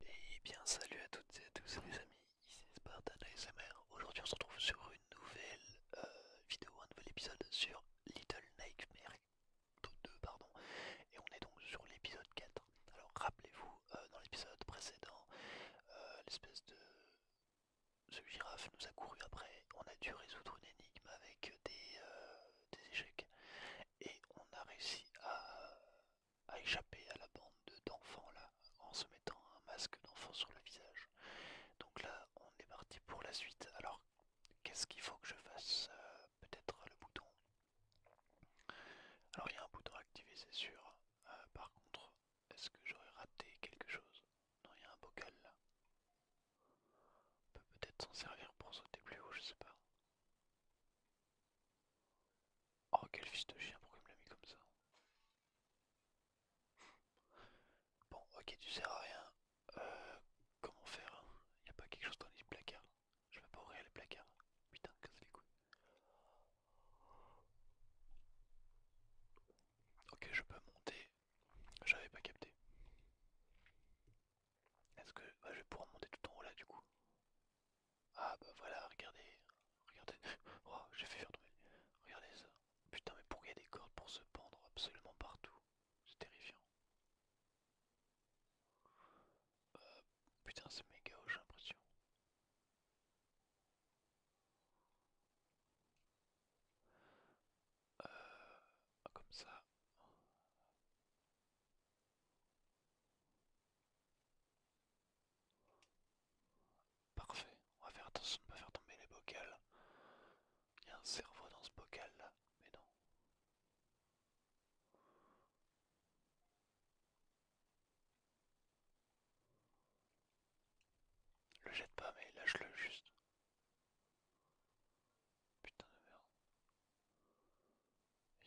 Et eh bien salut à toutes et à tous les amis, ici Spartan ASMR. Aujourd'hui on se retrouve sur une nouvelle euh, vidéo, un nouvel épisode sur Little Nightmare 2, pardon. Et on est donc sur l'épisode 4. Alors rappelez-vous, euh, dans l'épisode précédent, euh, l'espèce de... Ce girafe nous a couru après, on a dû résoudre une énigme avec des échecs et on a réussi à à échapper à la bande d'enfants là, en se mettant un masque d'enfant sur le visage. Donc là, on est parti pour la suite. Alors, qu'est-ce qu'il faut que je fasse euh, Peut-être le bouton. Alors, il y a un bouton activé, c'est sûr. Euh, par contre, est-ce que j'aurais raté quelque chose Non, il y a un bocal là. peut peut-être s'en servir pour sauter plus haut, je sais pas. Oh quel fils de chien, pourquoi il me l'a mis comme ça Bon, ok, tu sers à rien. Euh, comment faire Il hein n'y a pas quelque chose dans les placards. Je vais pas ouvrir les placards. Putain, Ok, je peux monter. J'avais pas capté. Est-ce que bah, je vais pouvoir monter tout en haut là du coup ah bah voilà, regardez. Regardez. Oh, j'ai fait faire tomber. Regardez ça. Putain, mais pourquoi il y a des cordes pour se pendre absolument partout C'est terrifiant. Euh, putain, c'est méga haut, j'ai l'impression. Euh, comme ça. Parfait, on va faire attention de ne pas faire tomber les bocals. Il y a un cerveau dans ce bocal là, mais non. Le jette pas mais lâche-le juste. Putain de merde.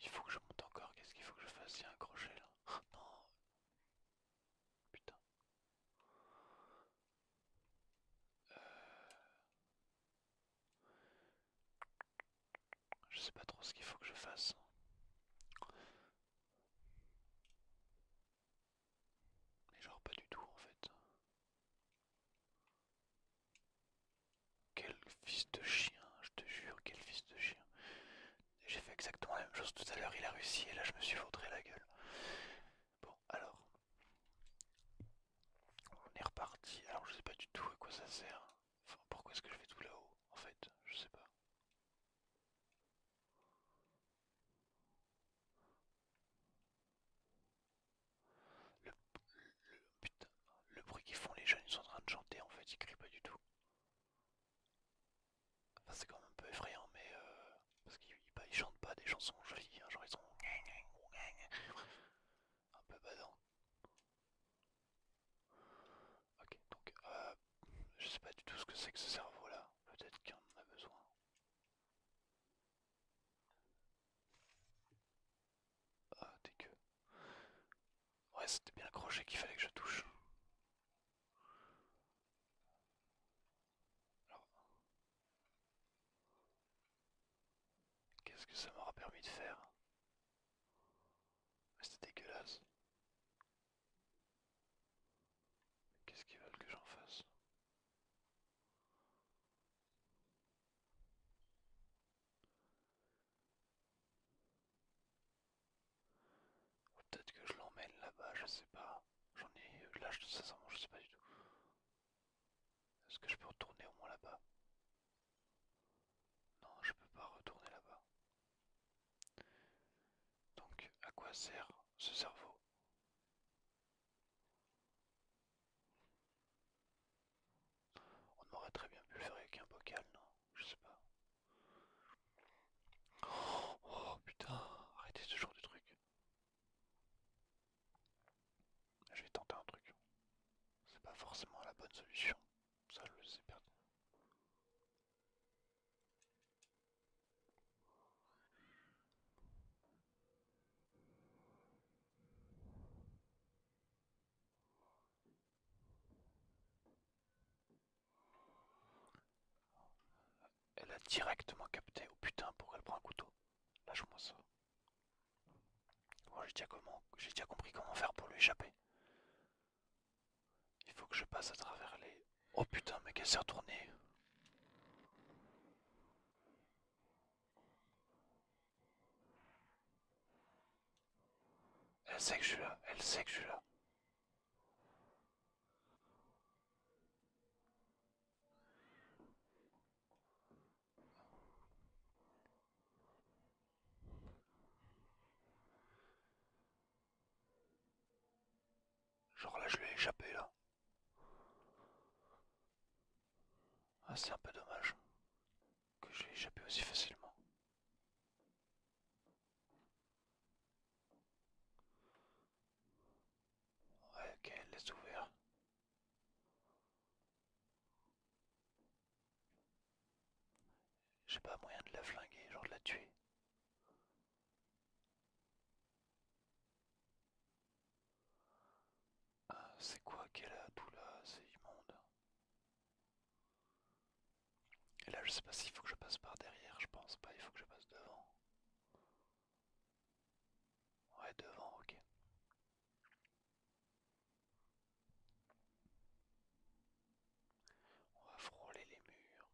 Il faut que je monte encore, qu'est-ce qu'il faut que je fasse Il y a un crochet là. non Putain. Euh. Je sais pas trop ce qu'il faut que je fasse. Mais genre pas du tout en fait. Quel fils de chien, je te jure, quel fils de chien. J'ai fait exactement la même chose tout à l'heure, il a réussi et là je me suis foutré la gueule. Bon, alors. On est reparti. Alors je sais pas du tout à quoi ça sert. Enfin, pourquoi est-ce que je vais tout là-haut En fait, je sais pas. Le, putain, le bruit qu'ils font les jeunes, ils sont en train de chanter en fait, ils crient pas du tout c'est quand même un peu effrayant, mais. Euh, parce qu'ils ne bah, chantent pas des chansons jolies, hein, genre ils sont. un peu badant. Ok, donc. Euh, je sais pas du tout ce que c'est que ce cerveau là. Peut-être qu'il en a besoin. Ah, t'es que. Ouais, c'était bien accroché qu'il fallait que je touche. Qu'est-ce que ça m'aura permis de faire C'était dégueulasse. Qu'est-ce qu'ils veulent que j'en fasse peut-être que je l'emmène là-bas, je sais pas. J'en ai. Euh, là, ça, je sais pas du tout. Est-ce que je peux retourner au moins là-bas Non, je peux pas retourner là-bas. Donc, à quoi sert ce cerveau on aurait très bien pu le faire avec un bocal, non Je sais pas. Oh, putain, arrêtez ce genre de truc. Je vais tenter un truc. C'est pas forcément la bonne solution. Ça, je le sais perdu. Elle a directement capté. Oh putain, pour elle prend un couteau Là, je ça. j'ai déjà, comment... déjà compris comment faire pour lui échapper. Il faut que je passe à travers les... Oh putain, mais qu'elle s'est retournée elle sait que je suis là, elle sait que je suis là. Genre là je lui ai échappé là. Ah c'est un peu dommage que je l'ai échappé aussi facilement. Ouais, laisse ouvert. J'ai pas moyen de la flinguer, genre de la tuer. Ah, c'est quoi qu'elle a tout là C'est immonde. Et là, je sais pas s'il faut que je passe par derrière, je pense pas, il faut que je passe devant. Ouais, devant, ok. On va frôler les murs.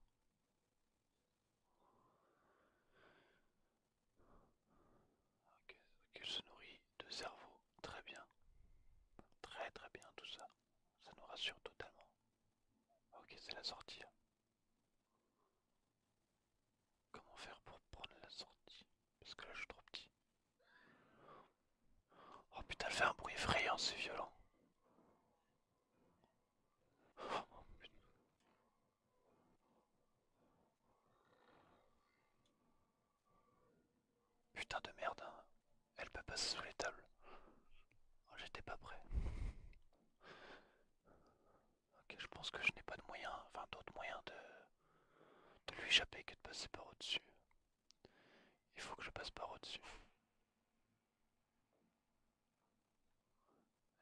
Ok, il se nourrit de cerveau. Très bien. Très très bien tout ça. Ça nous rassure totalement. Ok, c'est la sortie. Hein. Comment faire pour prendre la sortie Parce que là je suis trop petit. Oh putain, elle fait un bruit effrayant, c'est violent. Putain de merde, hein. elle peut passer sous les tables. Oh, j'étais pas prêt. Ok, je pense que je n'ai pas de moyen, enfin d'autres moyens de, de lui échapper que de passer par au-dessus. Il faut que je passe par au-dessus.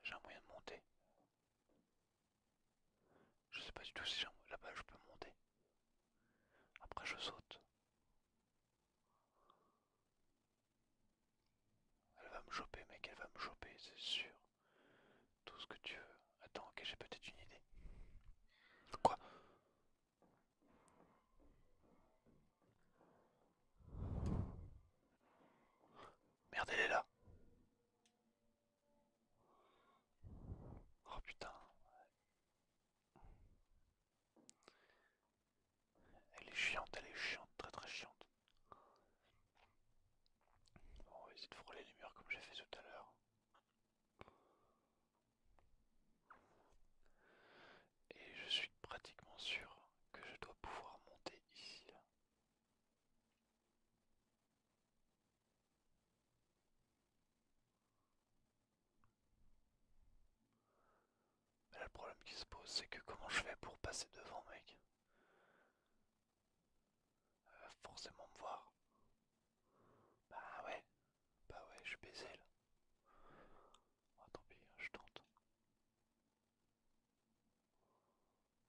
J'ai un moyen de monter. Je sais pas du tout si là-bas je peux monter. Après je saute. Elle va me choper, mec, elle va me choper, c'est sûr. Tout ce que tu veux. Attends, ok, j'ai peut-être une idée. Quoi Merde, elle est là. Oh putain. Elle est chiante, elle est chiante, très très chiante. on va essayer de frôler les murs comme j'ai fait tout à l'heure. Et je suis pratiquement sûr que je dois pouvoir monter ici mais le problème qui se pose, c'est que comment je fais pour passer devant, mec euh, forcément me voir. Bah ouais, bah ouais, je suis baisé là. Oh, tant pis, hein, je tente.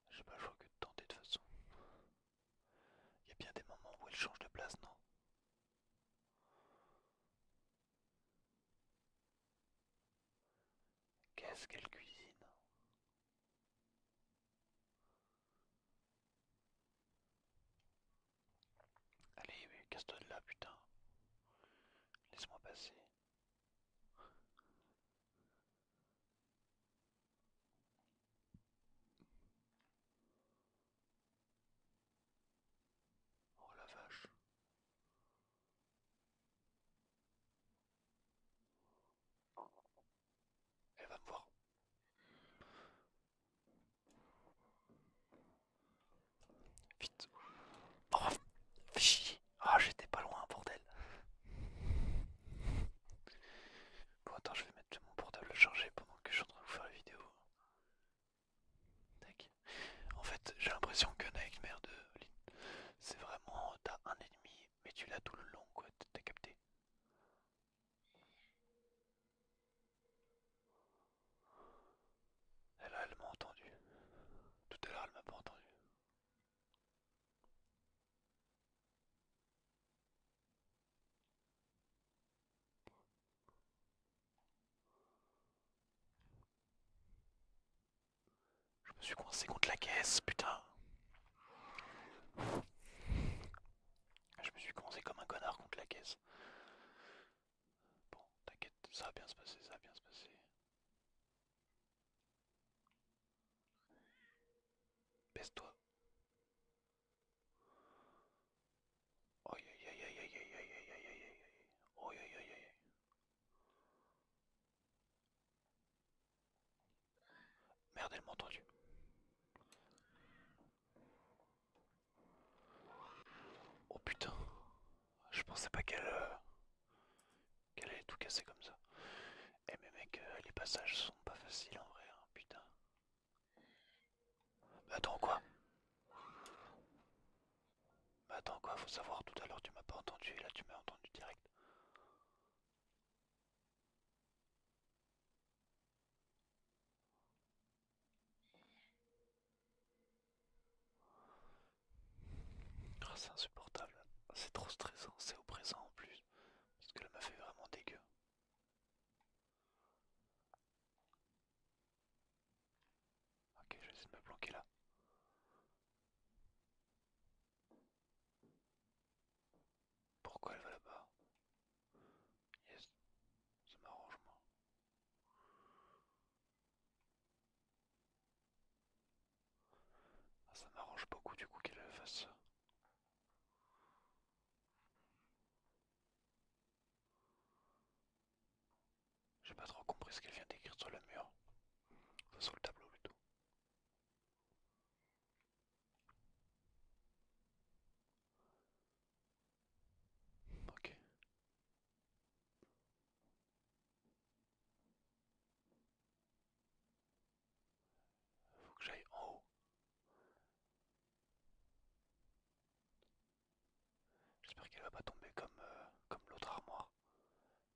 J'ai pas le choix que de tenter de toute façon. Il y a bien des moments où elle change de place, non Qu'est-ce qu'elle cuisine Allez, casse-toi de là, putain. Laisse-moi passer. Oh la vache. Elle va me voir, Vite. Oh, Ah, j'étais pas loin, bordel. Bon, attends, je vais mettre mon portable chargé pendant que je suis en train de vous faire la vidéo. Tac. En fait, j'ai l'impression que Nightmare de Lynn, c'est vraiment. T'as un ennemi, mais tu l'as tout le long, quoi. T'as capté. Elle, elle m'a entendu. Tout à l'heure, elle m'a pas entendu. Je me suis coincé contre la caisse, putain. Je me suis coincé comme un connard contre la caisse. Bon, t'inquiète, ça va bien se passer, ça va bien se passer. Baisse-toi. Aïe aïe aïe aïe aïe aïe aïe aïe aïe aïe aïe aïe aïe Merde, elle m'a entendu. Oh putain, je pensais pas qu'elle euh, qu'elle allait tout casser comme ça. Eh mais mec, euh, les passages sont pas faciles en vrai, hein, putain. Bah, attends quoi bah, attends quoi, faut savoir tout à l'heure tu m'as pas entendu et là tu m'as entendu direct. Ah, c'est insupportable, c'est trop stressant, c'est au présent en plus, parce que là m'a fait vraiment dégueu. Ok, je vais de me planquer là. Pourquoi elle va là-bas Yes, ça m'arrange ah, ça m'arrange beaucoup du coup qu'elle fasse ça. J'ai pas trop compris ce qu'elle vient d'écrire sur le mur. Ça sur le tableau plutôt. Ok. Faut que j'aille en haut. J'espère qu'elle va pas tomber comme, euh, comme l'autre armoire.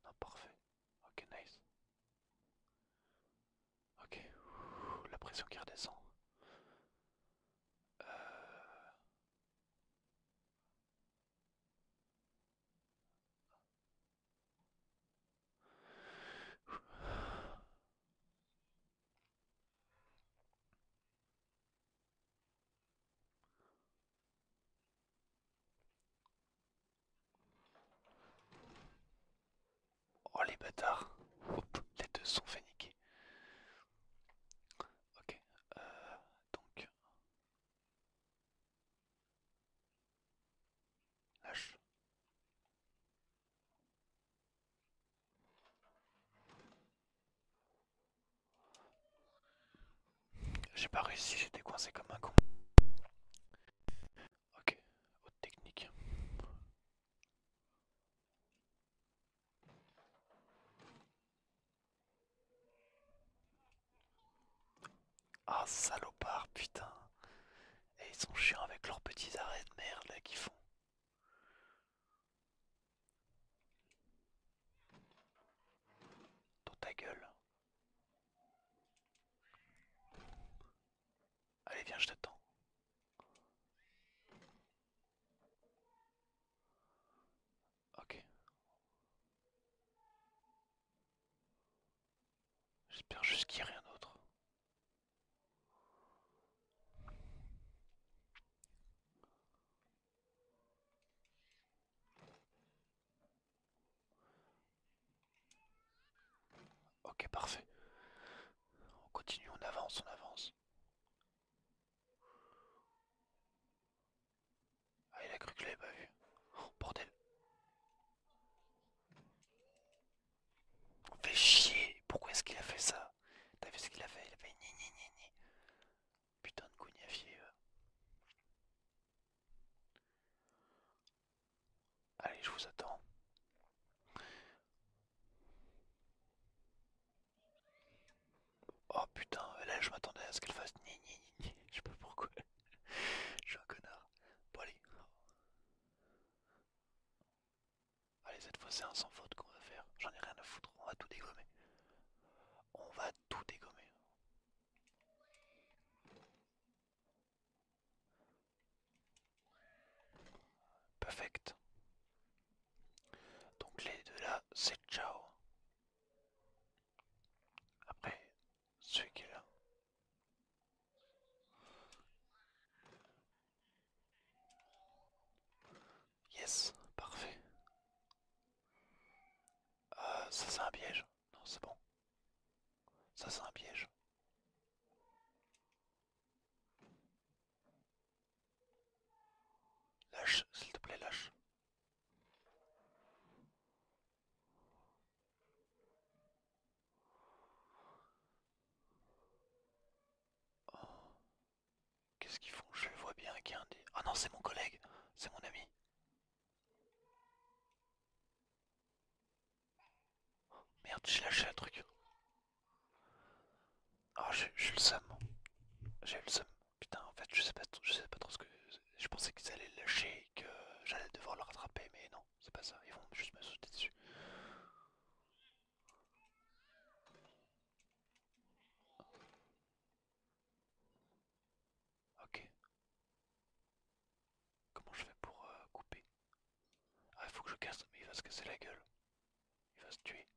Non, parfait. Ok, nice. Ok, la pression qui redescend. Euh. Oh les bâtards Les deux sont fait Ok, euh, donc... Lâche. J'ai pas réussi, j'étais coincé comme un con. Ok, autre technique. Ah salopard, putain. Et ils sont chiants avec leurs petits arrêts de merde là qu'ils font ta gueule. Allez, viens, je t'attends. Ok. J'espère juste qu'il n'y a rien d'autre. Ok, parfait. On continue, on avance, on avance. Ah, il a cru que je l'avais pas vu. Oh, bordel. fait chier. Pourquoi est-ce qu'il a fait ça T'as vu ce qu'il a fait Il a fait ni ni ni ni. Putain de cognafier euh. Allez, je vous attends. Oh putain, là je m'attendais à ce qu'elle fasse ni ni ni ni. Je sais pas pourquoi. je suis un connard. Bon allez. Allez, cette fois c'est un sans faute qu'on va faire. J'en ai rien à foutre, on va tout dégommer. On va tout dégommer. Perfect. Donc les deux là, c'est ciao. Après, celui qui est là. Yes, parfait. Euh, ça c'est un piège. Non, c'est bon. Ça c'est un piège. Lâche, s'il te plaît, lâche. Oh. Qu'est-ce qu'ils font Je vois bien qu'il y a un Ah non, c'est mon collègue C'est mon ami oh, Merde, j'ai lâché un truc. Ah, oh, j'ai eu le seum. J'ai eu le seum. Putain, en fait, je sais pas, je sais pas trop ce que... Je pensais qu'ils allaient le lâcher et que j'allais devoir le rattraper, mais non, c'est pas ça. Ils vont juste me sauter dessus. Ok. Comment je fais pour euh, couper Ah, il faut que je casse, mais il va se casser la gueule. Il va se tuer.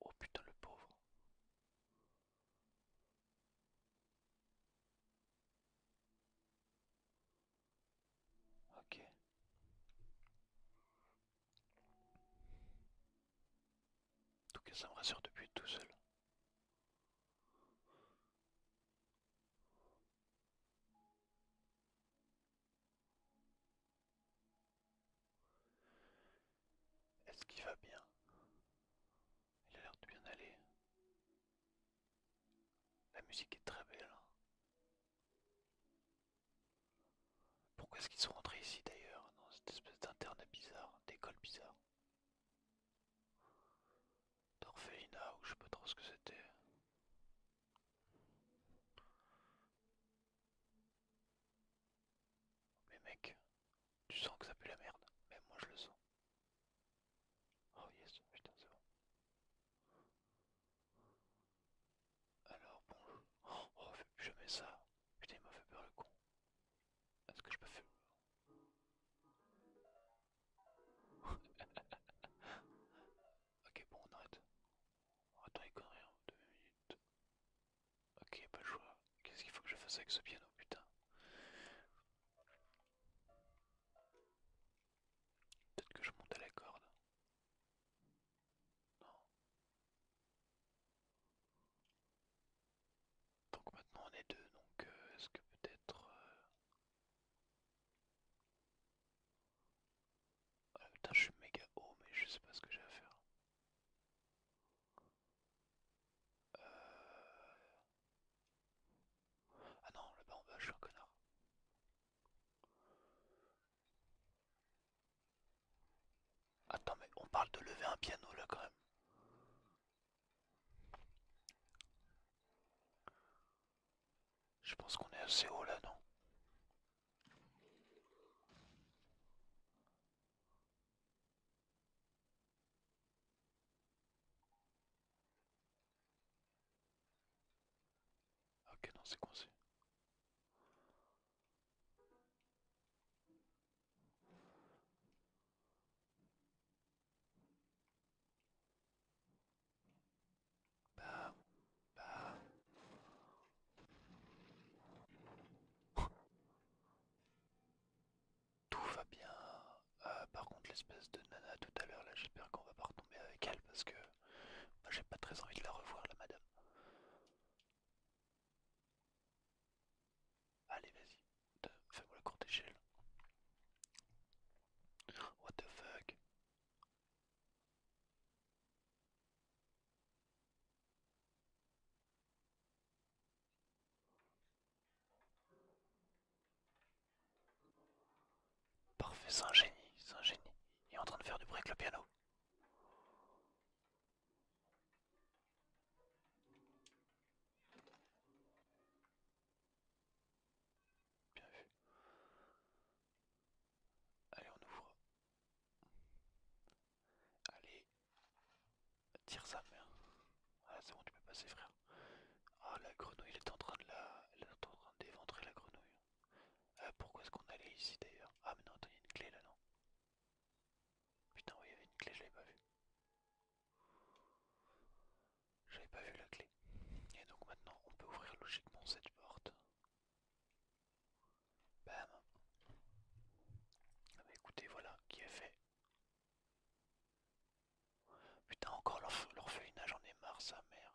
Oh putain, le pauvre. Ok. En tout cas, ça me rassure depuis tout seul. Est-ce qu'il va bien Il a l'air de bien aller. La musique est très belle. Hein. Pourquoi est-ce qu'ils sont rentrés ici d'ailleurs, dans cette espèce d'internet bizarre, d'école bizarre D'orphelinat ou je sais pas trop ce que c'était. Mais mec, tu sens que ça pue la merde, même moi je le sens. Oh yes, putain, c'est bon. Alors, bon. Oh, je mets ça. Putain, il m'a fait peur le con. Est-ce ah, que je peux faire. ok, bon, on arrête. Attends, les conneries en hein, deux minutes. Ok, pas le choix. Qu'est-ce qu'il faut que je fasse avec ce piano, putain Peut-être que je monte à la corde. Non. Donc maintenant on est deux, donc euh, est-ce que peut-être... Euh, ah, putain je suis méga haut mais je sais pas ce que j'ai à faire. Euh, ah non, là-bas on je suis un connard. Attends, mais on parle de lever un piano là quand même. Je pense qu'on est assez haut là, non Ok, non, c'est coincé. Bah, bah. Tout va bien. Euh, par contre l'espèce de nana tout à l'heure là j'espère qu'on va pas retomber avec elle parce que j'ai pas très envie de la revoir la madame. Allez vas-y, fais-moi la court échelle. What the fuck Parfait, c'est un génie, c'est un génie. Il est en train de faire du break le piano. Bien vu. Allez, on ouvre. Allez, tire sa mère. Ah, c'est bon, tu peux passer, frère. Ah, la grenouille, elle est en train de la... est en train d'éventrer la grenouille. Ah pourquoi est-ce qu'on allait ici d'ailleurs Ah, mais non, il y a une clé là, non Putain, oui, il y avait une clé, je l'avais pas vue. J'avais pas vu la clé. Et donc maintenant, on peut ouvrir logiquement cette porte. Bam Ah bah écoutez, voilà qui est fait. Putain, encore l'orphelinat, j'en ai marre, sa mère.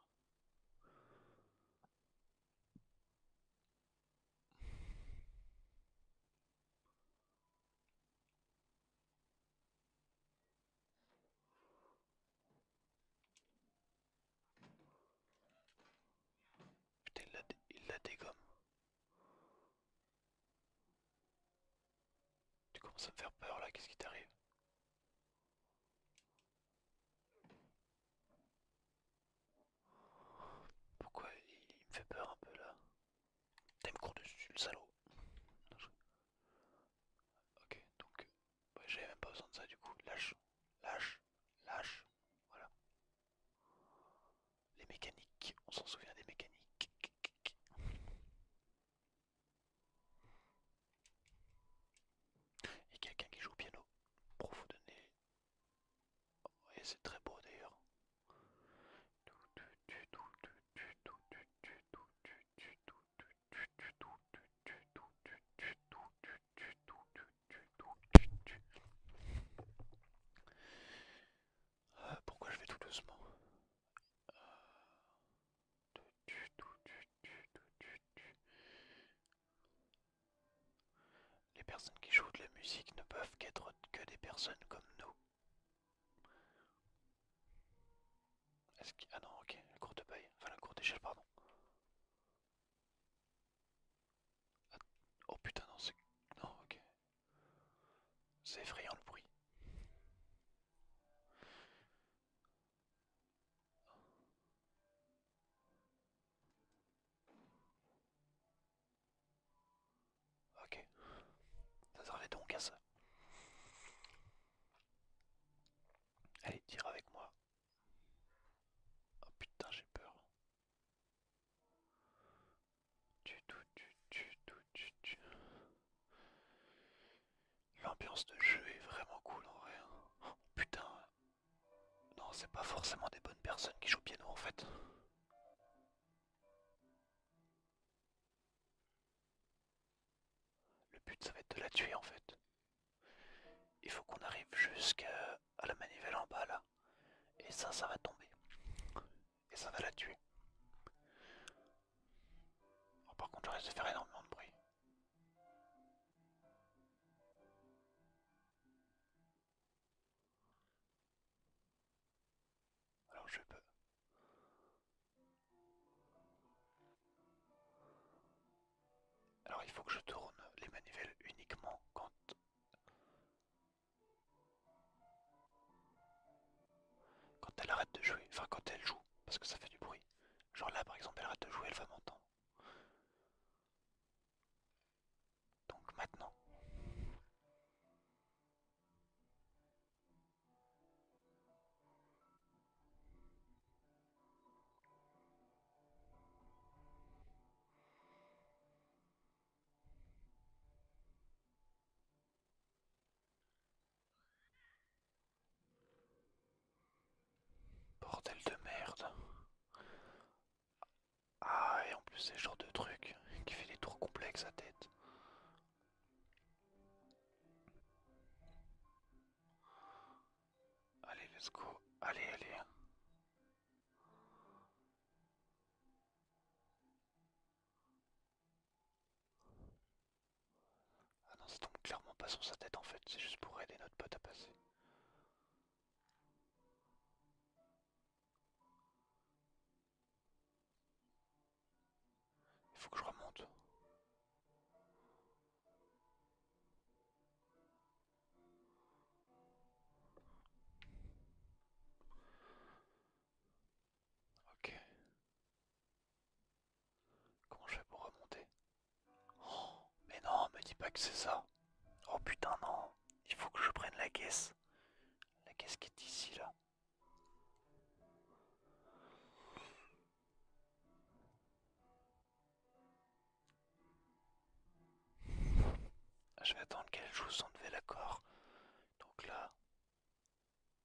Putain, il la dégomme. Tu commences à me faire peur là, qu'est-ce qui t'arrive pourquoi il, me fait peur un peu là T'aimes court dessus le salaud Ok donc j'avais même pas besoin de ça du coup. Lâche, lâche, lâche, voilà. Les mécaniques, on s'en souvient des mécaniques. Et quelqu'un qui joue au piano profondément, oh, Et c'est très beau d'ailleurs. Euh, pourquoi je vais tout doucement euh, les personnes qui jouent de la musique ne peuvent qu'être que des personnes comme nous. Est-ce Ah non, ok, la cour de Enfin, la cour d'échelle, pardon. Ah, oh putain, non, c'est... Non, ok. C'est effrayant le bruit. Ok, ça servait donc à ça. Allez, tire avec moi. Oh putain, j'ai peur. tu, tu, tu, tu, tu. L'ambiance de jeu est vraiment cool en vrai. Hein. Oh, putain. Non, c'est pas forcément des bonnes personnes qui jouent piano en fait. Le but ça va être de la tuer en fait. Il faut qu'on arrive jusqu'à la manivelle en bas là. Et ça, ça va tomber. Et ça va la tuer. Oh, par contre, je risque de faire énormément de bruit. Alors je peux. Alors il faut que je tourne les manivelles uniquement quand... Quand elle arrête de jouer, enfin quand elle joue, parce que ça fait du bruit. Genre là par exemple elle arrête de jouer, elle va Donc maintenant. Bordel de merde. Ah, et en plus, c'est le genre de truc qui fait des tours complexes à tête. Allez, let's go. Allez, allez. Ah non, ça tombe clairement pas sur sa tête en fait, c'est juste pour aider notre pote à passer. Il faut que je remonte. Ok. Comment je fais pour remonter oh, mais non, me dis pas que c'est ça. Oh putain, non. Il faut que je prenne la caisse. La caisse qui est ici, là. Ah, je vais attendre qu'elle joue sans lever l'accord. Donc là,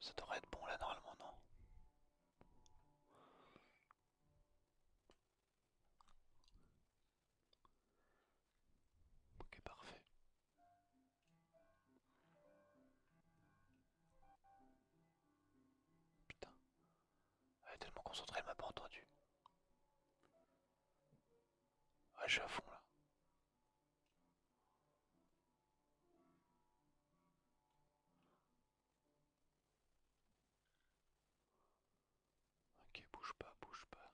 Ça devrait être bon là normalement, non Ok, parfait. Putain. Elle est tellement concentrée, elle m'a pas entendu. Ouais, je suis à fond là. Ok, bouge pas, bouge pas.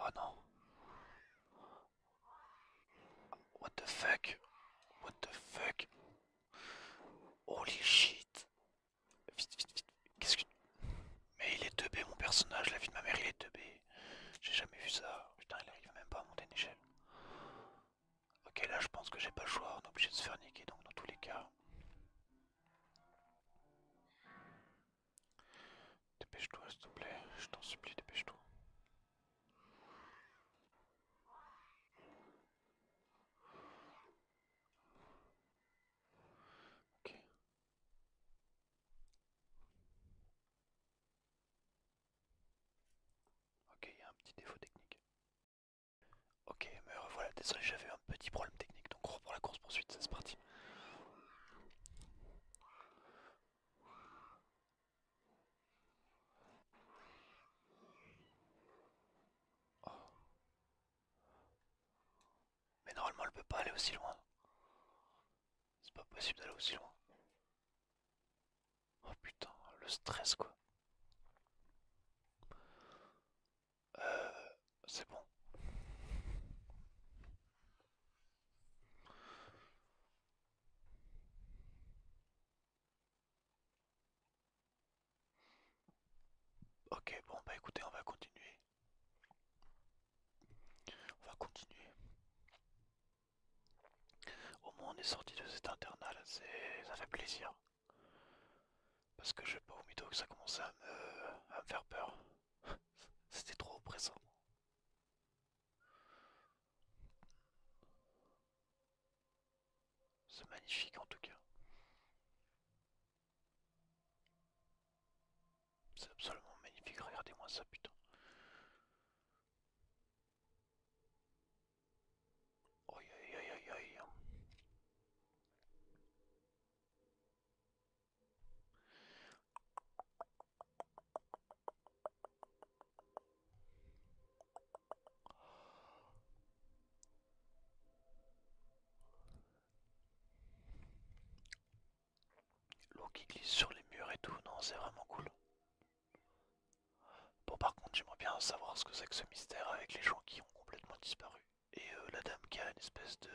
Oh what the fuck? What the fuck? Holy shit. Vite, vite, vite. Qu'est-ce que. Mais il est 2B mon personnage, la vie de ma mère, il est 2B, J'ai jamais vu ça. Putain, il arrive même pas à monter une échelle. Ok, là je pense que j'ai pas le choix, on est obligé de se faire niquer donc dans tous les cas. Dépêche-toi s'il te plaît, je t'en supplie, dépêche-toi. Ok. Ok, il y a un petit défaut technique. Ok, mais revoilà, désolé, j'avais un petit problème technique, donc on reprend la course poursuite, c'est parti. Oh. Mais normalement elle peut pas aller aussi loin. C'est pas possible d'aller aussi loin. Oh putain, le stress quoi. Euh, c'est bon. Ok, bon bah écoutez, on va continuer. On va continuer. Au moins on est sorti de cet internat ça fait plaisir. Parce que je peux pas au que ça commençait à me faire peur. C'était trop oppressant. C'est magnifique en tout cas. C'est absolument magnifique, regardez-moi ça putain. L'eau qui glisse sur les murs et tout, non, c'est vraiment cool. Bon, par contre, j'aimerais bien savoir ce que c'est que ce mystère avec les gens qui ont complètement disparu. Et euh, la dame qui a une espèce de.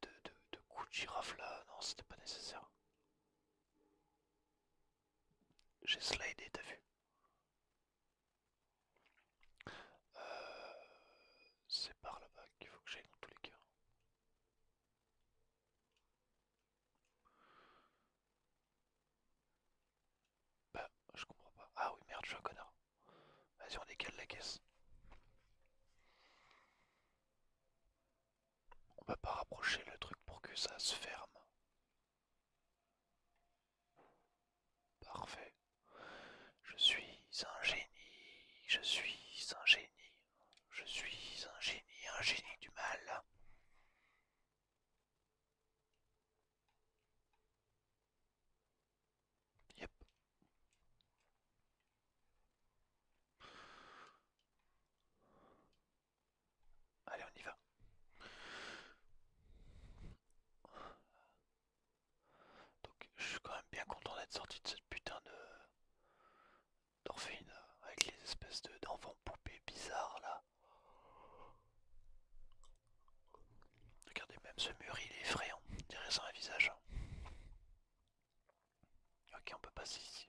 de, de, de coup de girafe là, non, c'était pas nécessaire. J'ai slidé, t'as vu euh, c'est par là-bas qu'il faut que j'aille dans tous les cas. Bah, je comprends pas. Ah oui, merde, je suis un connard. Vas-y, on décale la caisse. On va pas rapprocher le truc pour que ça se ferme. Parfait. Je suis un génie, je suis un génie, je suis un génie, un génie du mal. Yep. Allez, on y va. Donc je suis quand même bien content d'être sorti de cette putain de euh, avec les espèces d'enfants poupées bizarres là. Regardez même ce mur il est effrayant, on dirait ça un visage. Hein. Ok on peut passer ici.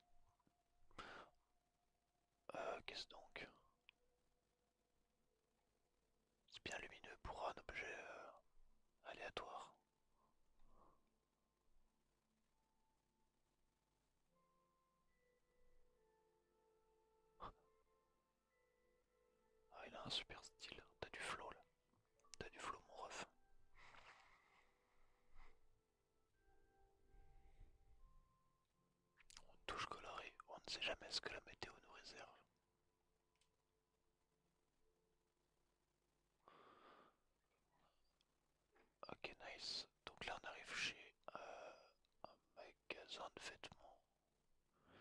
Euh, Qu'est-ce donc c'est bien lumineux pour un objet euh, aléatoire. Ah, il a un super style, t'as du flow là, t'as du flow mon ref. On touche coloré, on ne sait jamais ce que la météo nous réserve. Ok, nice. Donc là, on arrive chez euh, un magasin de vêtements. le.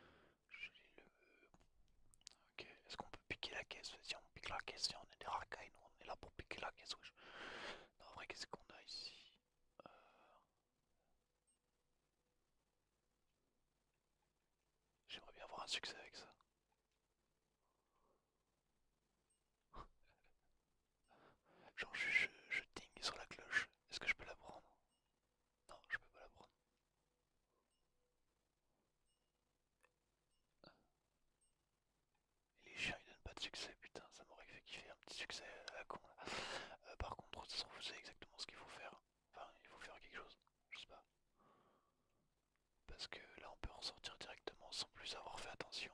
est-ce qu'on peut piquer la caisse Si on pique la caisse, on est des racailles, on est là pour piquer la caisse. en vrai, qu'est-ce qu'on a ici euh, J'aimerais bien avoir un succès avec ça. Genre je, je, sur la cloche. Est-ce que je peux la prendre Non, je peux pas la prendre. les chiens ils donnent pas de succès, putain, ça m'aurait fait kiffer un petit succès à la con euh, par contre, de toute façon vous savez exactement ce qu'il faut faire. Enfin, il faut faire quelque chose, je sais pas. Parce que là, on peut ressortir directement sans plus avoir fait attention.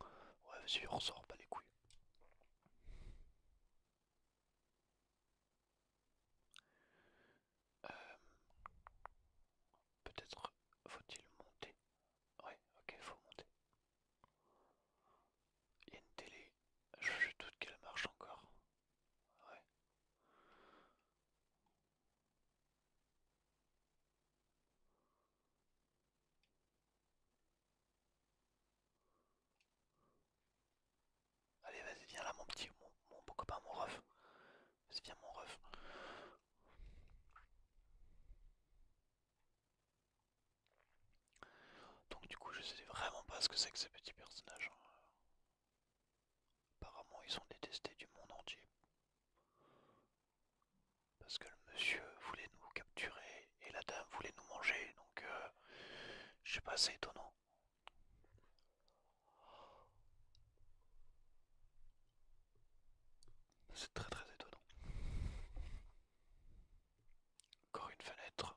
Ouais, vas on ressort pas les couilles. Euh, peut-être faut-il monter Ouais, ok, faut monter. Il y a une télé, je doute qu'elle marche encore. Allez, vas-y, viens là, mon petit, mon, mon copain, mon ref. Vas-y, viens, mon ref. Donc, du coup, je sais vraiment pas ce que c'est que ces petits personnages. Hein. Apparemment, ils sont détestés du monde entier. Parce que le monsieur voulait nous capturer et la dame voulait nous manger, donc c'est euh, je sais pas, assez étonnant. C'est très très étonnant. Encore une fenêtre